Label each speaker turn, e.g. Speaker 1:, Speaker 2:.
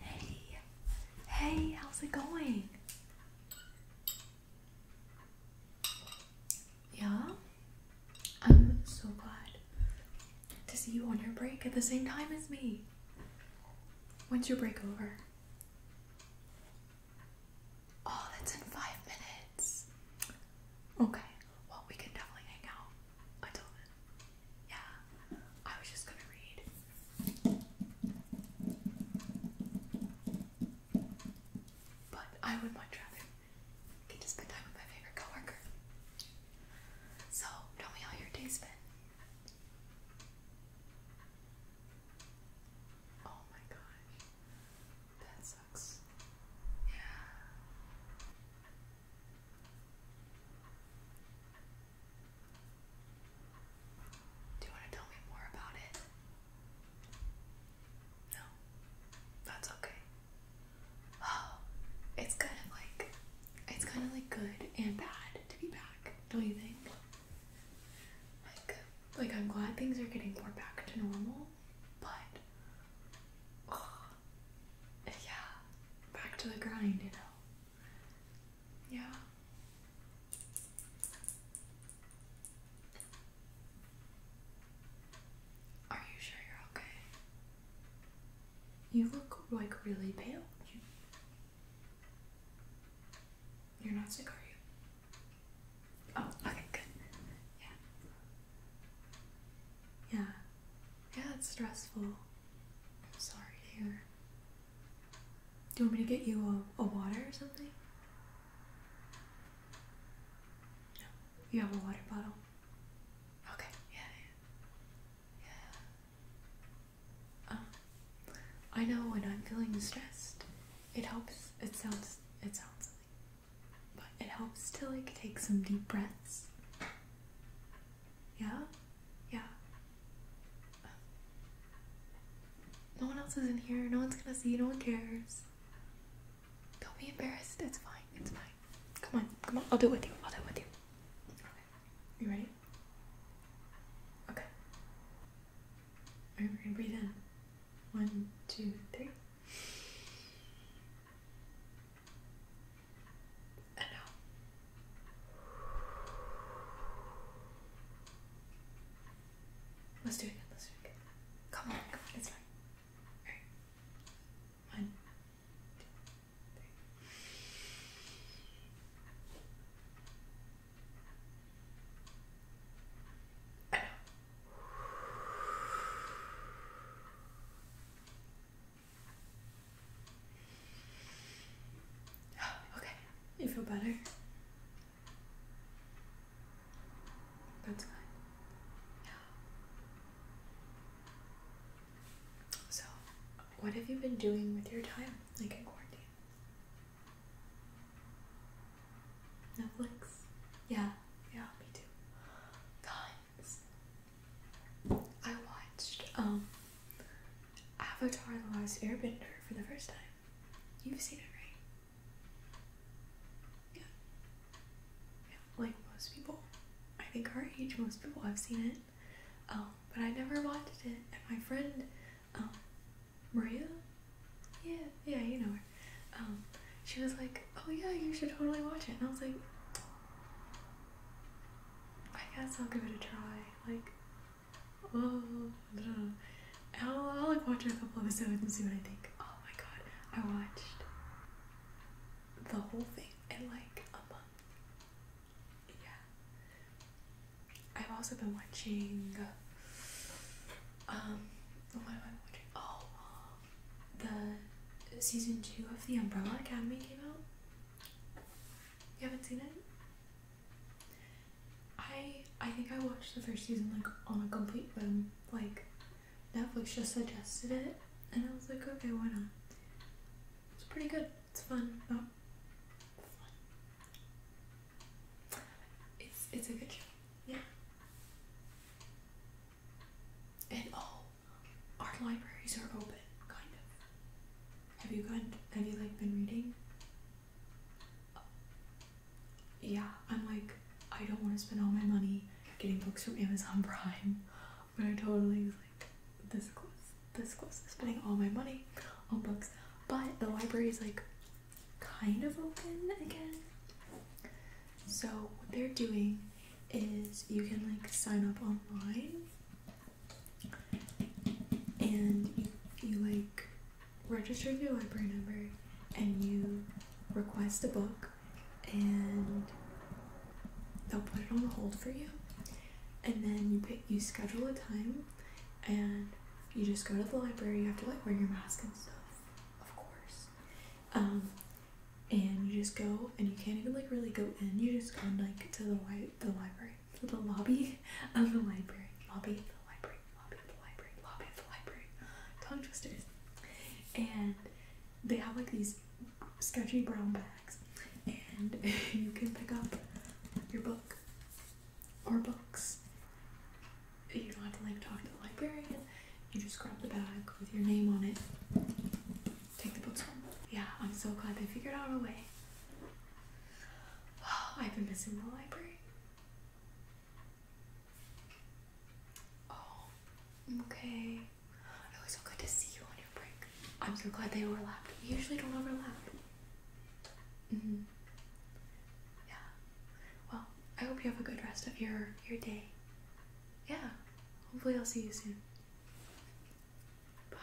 Speaker 1: Hey, hey, how's it going? Yeah, I'm so glad to see you on your break at the same time as me. When's your break over? Oh, that's in five minutes. Okay. Well, we can definitely hang out until then. Yeah. I was just gonna read. But I would much rather get to spend time with my favorite coworker. So, tell me how your day's been. Oh my gosh. That sucks. Yeah. Do you want to tell me more about it? No. That's okay. it's kind of like it's kind of like good and bad to be back, don't you think? Like, like I'm glad things are getting more back to normal, but yeah, back to the grind, you know. Yeah. Are you sure you're okay? You look like really pale. You, are not sick, are you? Oh, okay, good. Yeah. Yeah. Yeah, it's stressful. I'm sorry to Do you want me to get you a, a water or something? No. You have a water bottle. Okay, yeah, yeah. Um, I know when I'm feeling stressed, it helps. It sounds, it sounds silly, but it helps to like take some deep breaths. Yeah, yeah. no one else is in here. No one's gonna see. No one cares. Don't be embarrassed. It's fine. It's fine. Come on. Come on. I'll do it with you. I'll do it with you. You ready? Okay. Alright, we're gonna breathe in. One, two, three. And out. Let's do it Let's do it Come on, come on, it's fine. Alright. One, two, three. I know. Okay, you feel better? That's good. Yeah. So, what have you been doing with your time, like in quarantine? Netflix. Yeah, yeah, me too. Guys, I watched um Avatar: The Last Airbender for the first time. You've seen it, right? Yeah. like most people. I think our age, most people have seen it. Oh, but I never watched it. And my friend, oh, Maria? Yeah, yeah, you know her. Um, she was like, oh yeah, you should totally watch it. And I was like, I guess I'll give it a try. Like, Oh, I will I'll like watch a couple episodes and see what I think. Oh my god, I watched the whole thing in like a month. Yeah. I've also been watching. Um, what am I watching? Oh, the season two of The Umbrella Academy came out. You haven't seen it? I I think I watched the first season like on a complete whim. Like Netflix just suggested it and I was like, okay, why not? It's pretty good. It's fun. It's it's a good show. Yeah. And oh our libraries are open, kind of. Have you gone? Have you like been reading? yeah, I'm like, I don't want to spend all my money getting books from Amazon Prime, but I totally was like, this close, this close, to spending all my money on books. But the library is like kind of open again. So what they're doing is you can like sign up online and you, you like register your library number and you request a book and they'll put it on hold for you and then you pick you schedule a time and you just go to the library you have to like wear your mask and stuff of course um, and you just go and you can't even like really go in you just go like to the li- the library to the lobby of the library lobby the library lobby the library lobby the library tongue twisters and they have like these sketchy brown bags and you can pick up your book or books you don't have to like talk to the librarian you just grab the bag with your name on it. Take the books home. Yeah, I'm so glad they figured out a way. Oh, I've been missing the library. Oh, okay. It was so good to see you on your break. I'm so glad they overlapped. We usually don't overlap. Mm-hmm. Yeah. Well, I hope you have a good rest of your your day. Yeah. Hopefully I'll see you soon. Bye.